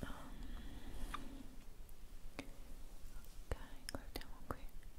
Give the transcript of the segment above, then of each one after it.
um, ok guardiamo qui ok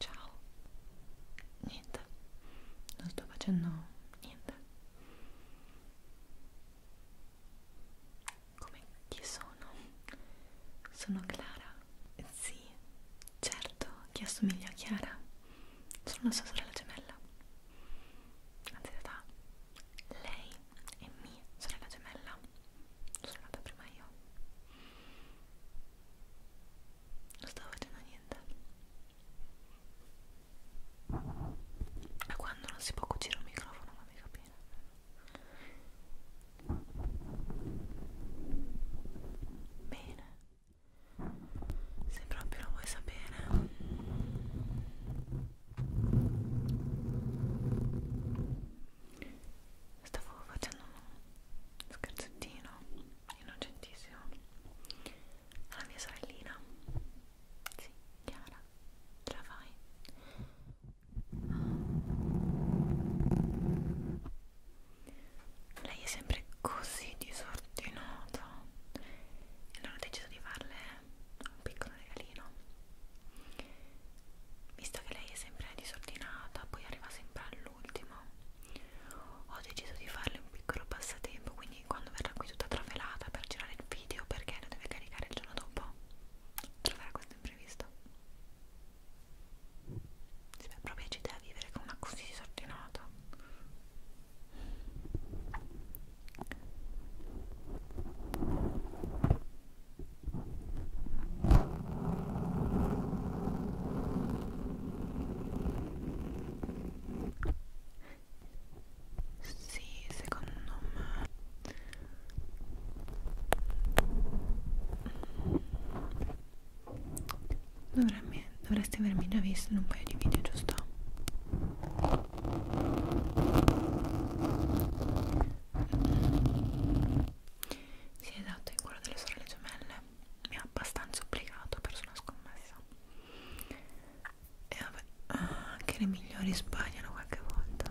Ciao. Niente. Non sto facendo niente. Come chi sono? Sono Clara sì, certo, chi assomiglia a Chiara? Sono la sua sorella gemella. Anzi, in realtà, lei e mia sorella gemella. Sono nata prima io. Non stavo facendo niente. Ma quando non si può cucire un microfono, fammi capire. Bene, se proprio lo vuoi sapere, stavo facendo uno scherzettino innocentissimo alla mia sorellina. Sì, Chiara, ce la fai? Ah lei è sempre così disordinata e allora ho deciso di farle un piccolo regalino visto che lei è sempre disordinata poi arriva sempre all'ultimo ho deciso di farle un piccolo passatempo quindi quando verrà qui tutta travelata per girare il video perché lo deve caricare il giorno dopo troverà questo imprevisto se mi proprio ci deve vivere con una così disordinata. Sì, secondo me Dovremmi, dovresti avermi già visto in un paio di video, giusto? Sì, esatto, in quello delle sorelle gemelle mi ha abbastanza obbligato per una scommessa. E vabbè, anche le migliori sbagliano qualche volta.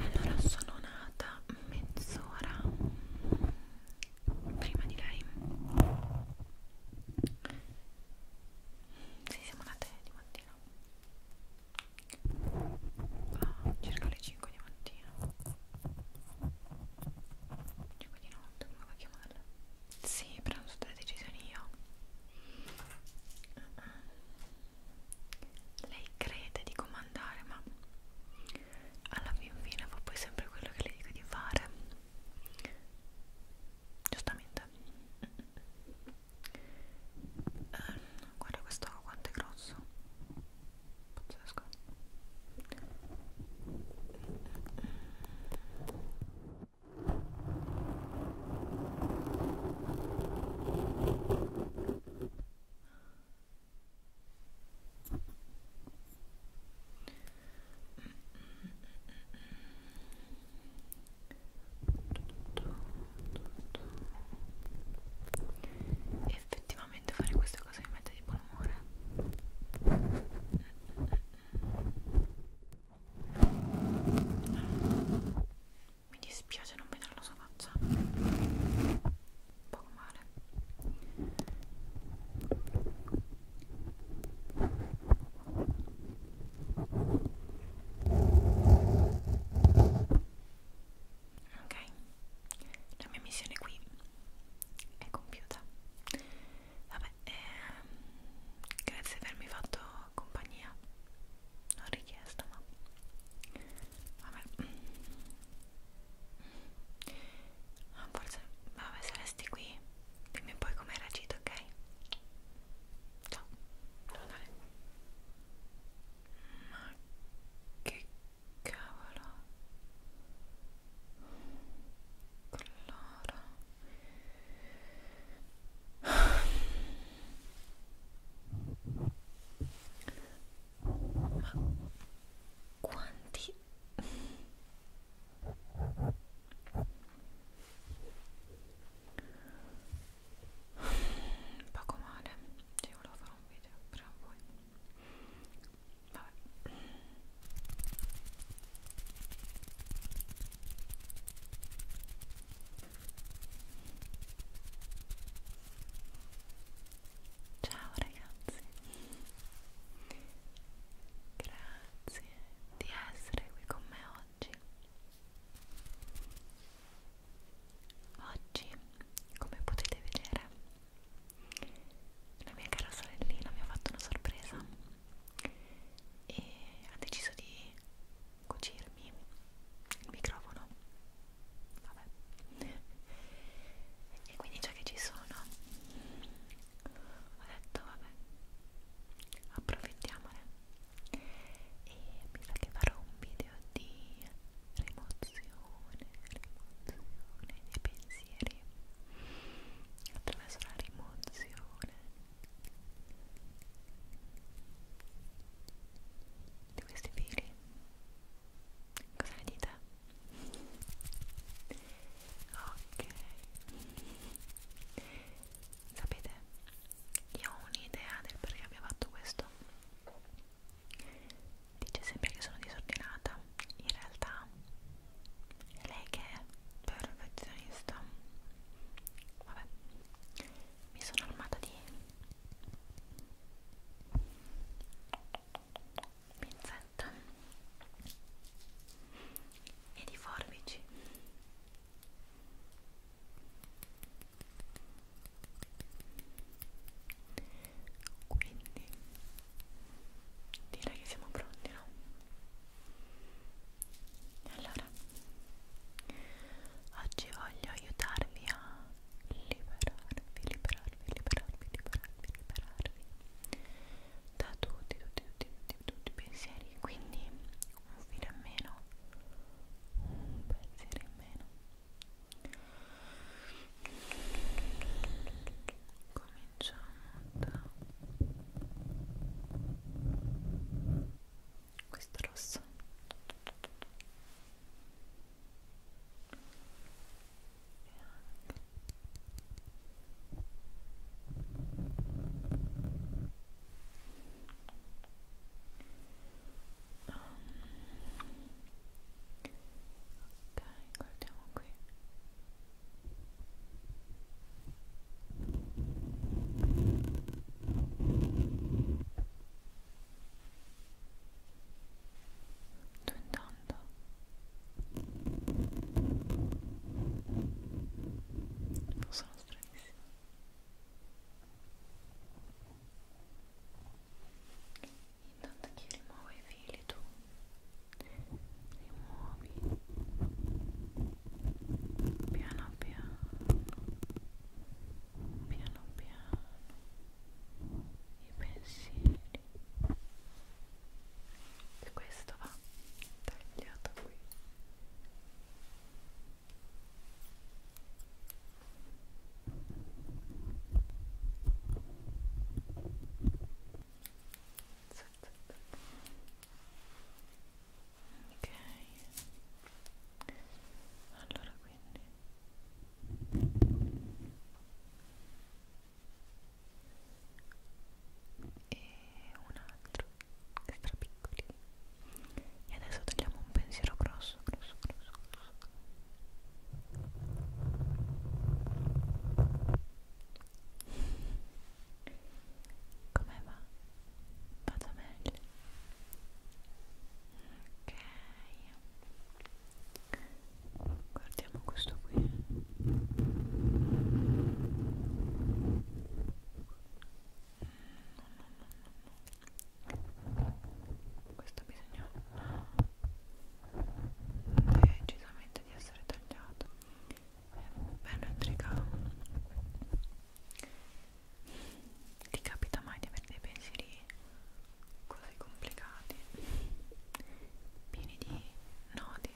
allora sono nata mezz'ora prima di lei sì, siamo nate di mattina ah, circa alle 5 di mattina 5 di notte, come va a chiamarla? sì, prendo tutte le decisioni io lei crede di comandare ma alla fin fine fa poi sempre quello che le dico di fare giustamente eh, guarda questo quanto è grosso pazzesco e effettivamente fare queste cose mi mette di buon umore mi dispiace non vedere la sua faccia un po' male ok la mia missione qui è compiuta vabbè ehm, grazie per avermi fatto compagnia non richiesta ma vabbè ah, forse vabbè se resti qui dimmi poi come hai reagito ok ciao devo andare ma che cavolo allora ma quanti poco male io volevo fare un video prima o poi vabbè Ciao ragazzi, grazie di essere qui con me oggi. Oggi, come potete vedere, la mia cara sorellina mi ha fatto una sorpresa e ha deciso di cucirmi il microfono vabbè e quindi già che ci sono ho detto vabbè approfittiamone e mi sa che farò un video di rimozione rimozione dei pensieri attraverso la rimozione di questi fili cosa ne dite? ok sapete io ho un'idea del perché abbia fatto questo dice sempre che sono disordinata in realtà lei che è perfezionista vabbè mi sono armata di pinzetta e di forbici quindi direi che siamo pronti no? Allora, oggi voglio aiutarvi a liberarvi, liberarvi, liberarvi, liberarvi, liberarvi da tutti, tutti, tutti, tutti, tutti i pensieri. Quindi un filo in meno, un pensiero in meno. Cominciamo da questo rosso um. ok guardiamo qui ok tu intanto non sono stranissima Intanto chi rimuove i fili tu rimuovi piano piano piano piano i pensieri e questo va tagliato qui Z, z, z ok allora quindi e un altro extra piccoli e adesso tagliamo un pensiero grosso grosso grosso grosso come va? vado meglio ok guardiamo questo qui questo bisogna decisamente di essere tagliato è bello intricato ti capita mai di avere dei pensieri così complicati pieni di nodi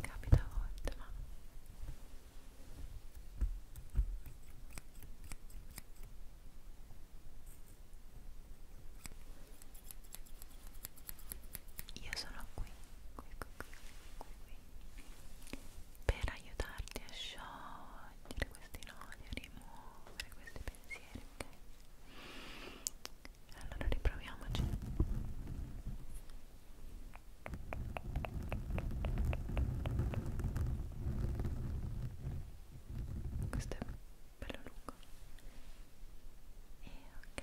capita a volte ma io sono qui, qui, qui, qui, qui per aiutarti a sciogliere questi nodi, a rimuovere questi pensieri, ok? Allora riproviamoci. Questo è bello lungo. E ok.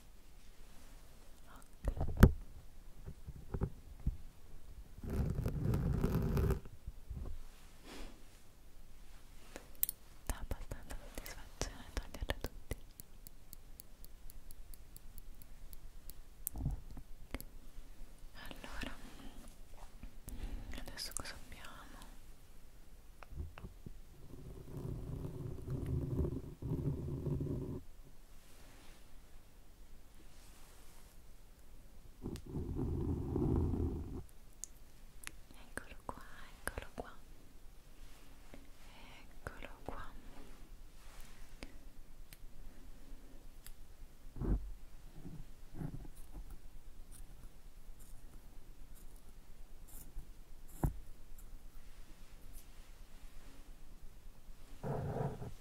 ok dà abbastanza soddisfazione toglierle tutti allora adesso cosa abbiamo? Eccolo qua, eccolo qua. Eccolo qua. Eccolo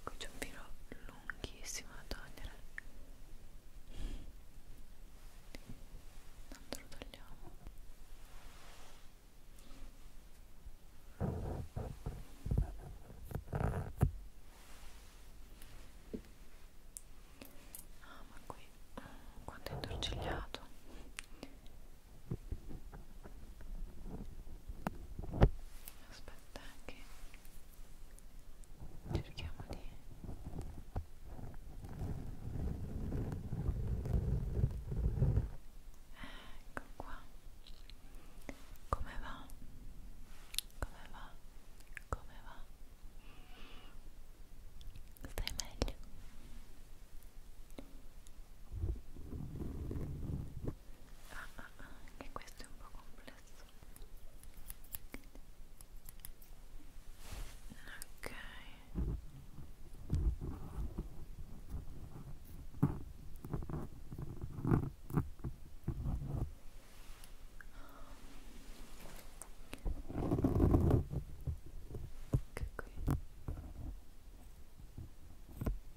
qui c'è un filo lunghissimo da togliere tanto lo togliamo ah ma qui quanto è intorcigliato aspetta che cerchiamo di ecco qua come va? come va? come va? stai meglio ah, ah, ah, anche questo è un po' complesso ok che qui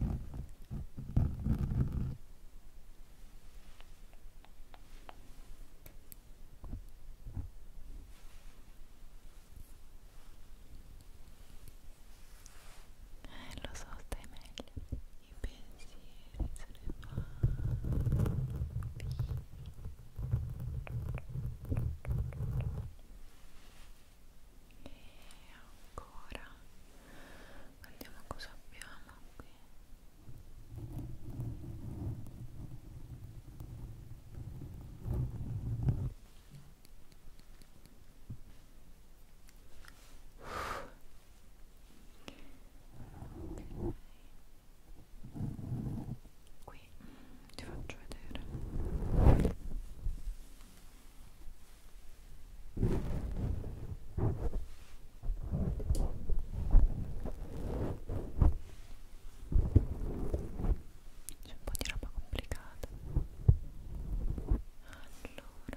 Eh, lo so, stai meglio. I pensieri se ne vanno via. E ancora vediamo cosa abbiamo qui Uff. Okay. Qui ti faccio vedere. C'è un po' di roba complicata. Allora. C'è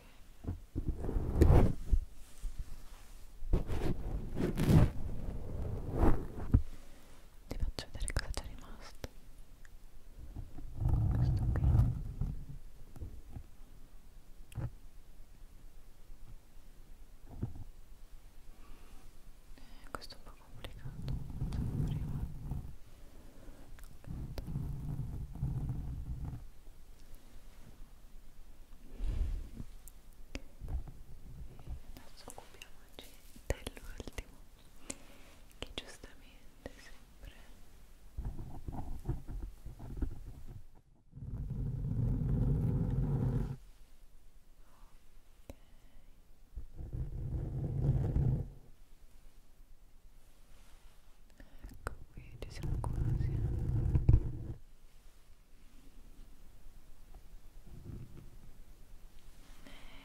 ti faccio vedere cosa c'è rimasto questo qui eh, questo è un po' complicato non prima questo adesso occupiamoci dell'ultimo che giustamente sempre ok Ecco qui, ci siamo quasi. Ecco,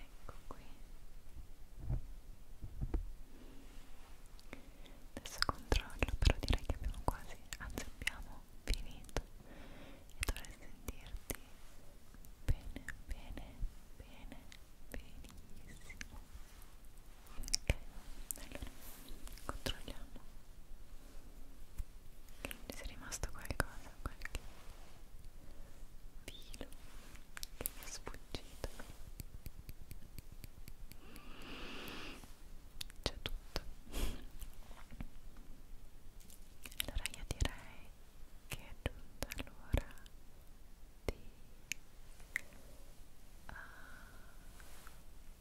ecco qui adesso controllo però direi che abbiamo quasi anzi abbiamo finito e dovrei sentirti bene bene bene benissimo ok allora controlliamo che non sia rimasto qualcosa qualche filo che mi è sfuggito c'è tutto allora io direi che è giunta l'ora di uh,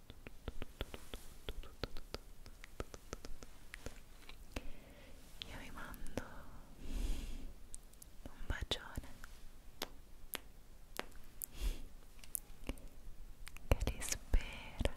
Io vi mando un bacione che vi spera.